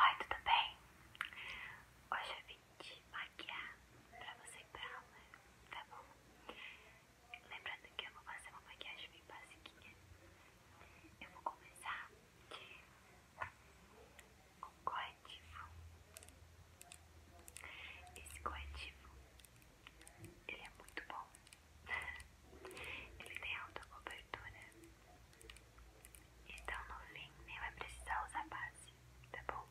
Oi, tudo tá bem? Hoje eu vim te maquiar pra você ir pra aula, tá bom? Lembrando que eu vou fazer uma maquiagem bem basiquinha. Eu vou começar com corretivo. Esse corretivo, ele é muito bom. Ele tem alta cobertura então no fim nem vai precisar usar base, tá bom?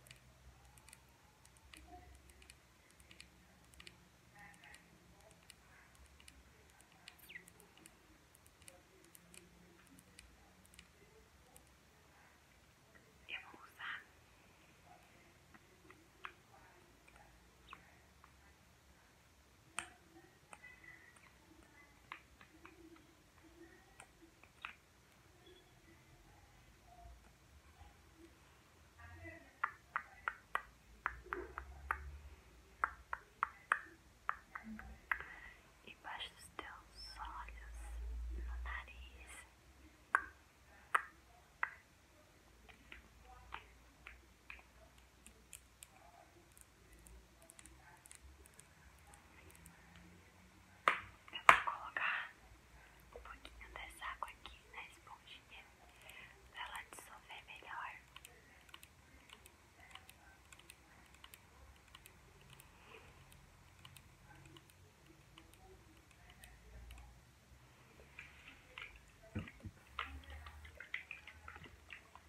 Eu vou usar Embaixo dos teus olhos, no nariz. Eu vou colocar um pouquinho dessa água aqui na esponjinha para ela dissolver melhor.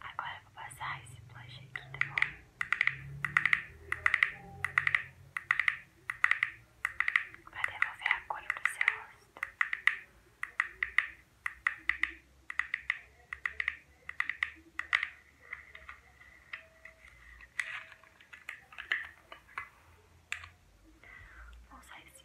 Agora vou passar esse blush aqui, tá bom? Pra devolver a cor pro seu rosto. Vou usar esse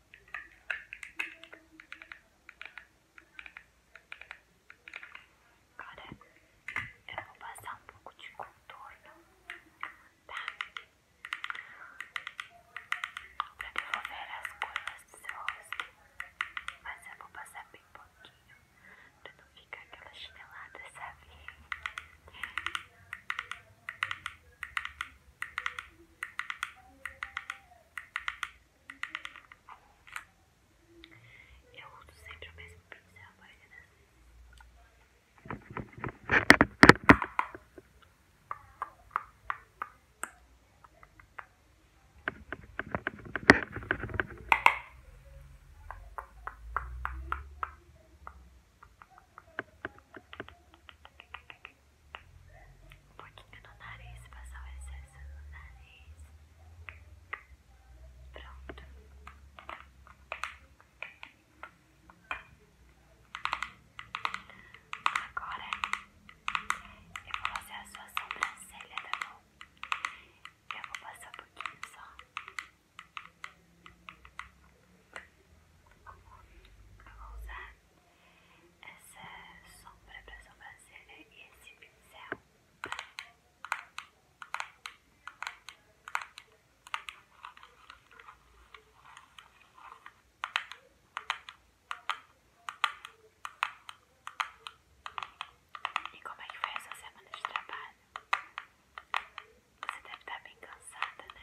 Agora eu vou passar um pouco de contorno, tá? Pra devolver as cores do seu rosto. Mas eu vou passar bem pouquinho, pra não ficar aquela chinelada, sabe? Eu uso sempre o mesmo pincel, mas é um pouquinho no nariz, passar o excesso no nariz. Pronto. Agora eu vou usar a sua sobrancelha, tá bom? Eu vou passar um pouquinho só. Eu vou usar essa sombra para sobrancelha e esse pincel. E como é que foi essa semana de trabalho? Você deve estar bem cansada, né?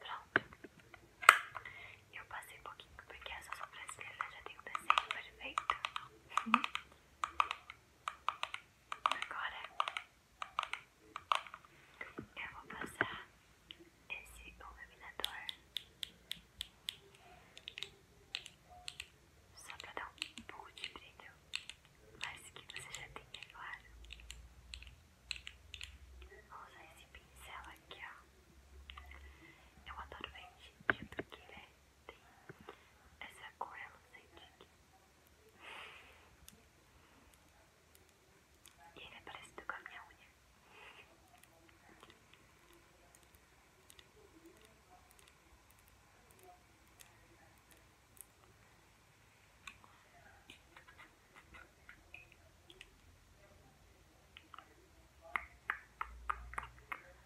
Pronto. Eu passei um pouquinho porque essa sobrancelha já tem um desenho perfeito. Agora eu vou passar esse iluminador só pra dar um pouco de brilho, mas que você já tem, é claro. Vou usar esse pincel aqui, ó. Eu adoro verde, porque ele é, né, tem essa cor sei reluzente aqui. É. E ele é parecido com a minha unha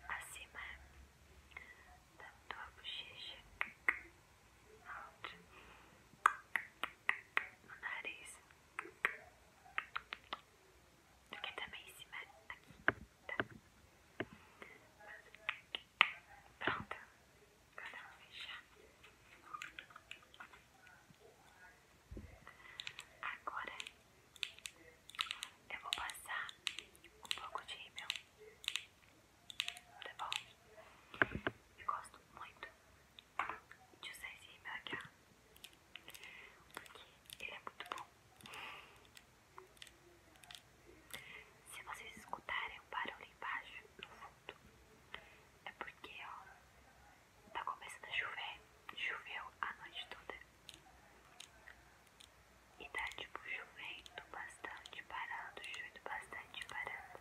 acima da tua bochecha, alto no nariz, porque também em cima tá? aqui. Pronto. Agora vou fechar. Agora eu vou passar um pouco de rímel. Tá bom? Eu gosto muito de usar esse rímel aqui, ó. Porque ele é muito bom. Se vocês escutarem o barulho embaixo, no fundo, é porque ó, tá começando a chover. Choveu a noite toda. E tá tipo chovendo bastante, parando, chovendo bastante, parando.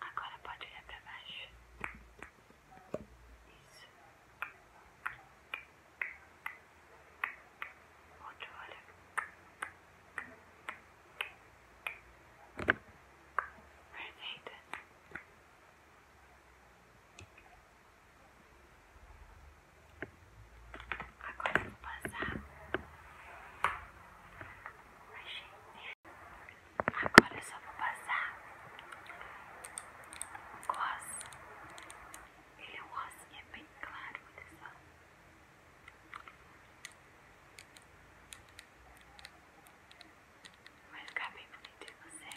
Agora pode olhar para baixo. Isso. Outro olho. Perfeita. Agora vou passar a gente Agora eu só vou passar gloss. Ele é um rosinha é bem claro, olha só. Vai ficar bem bonito em você.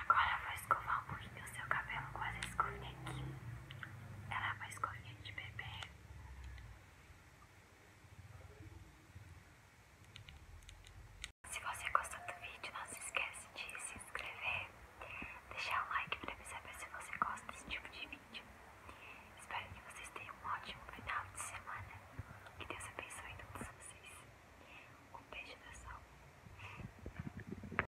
Agora eu vou escovar um o seu cabelo com essa escovinha aqui. Ela é uma escovinha de bebê. Se você gostou do vídeo, não se esquece de se inscrever, deixar um like pra me saber se você gosta desse tipo de vídeo. Espero que vocês tenham um ótimo final de semana. Que Deus abençoe todos vocês. Um beijo da sol.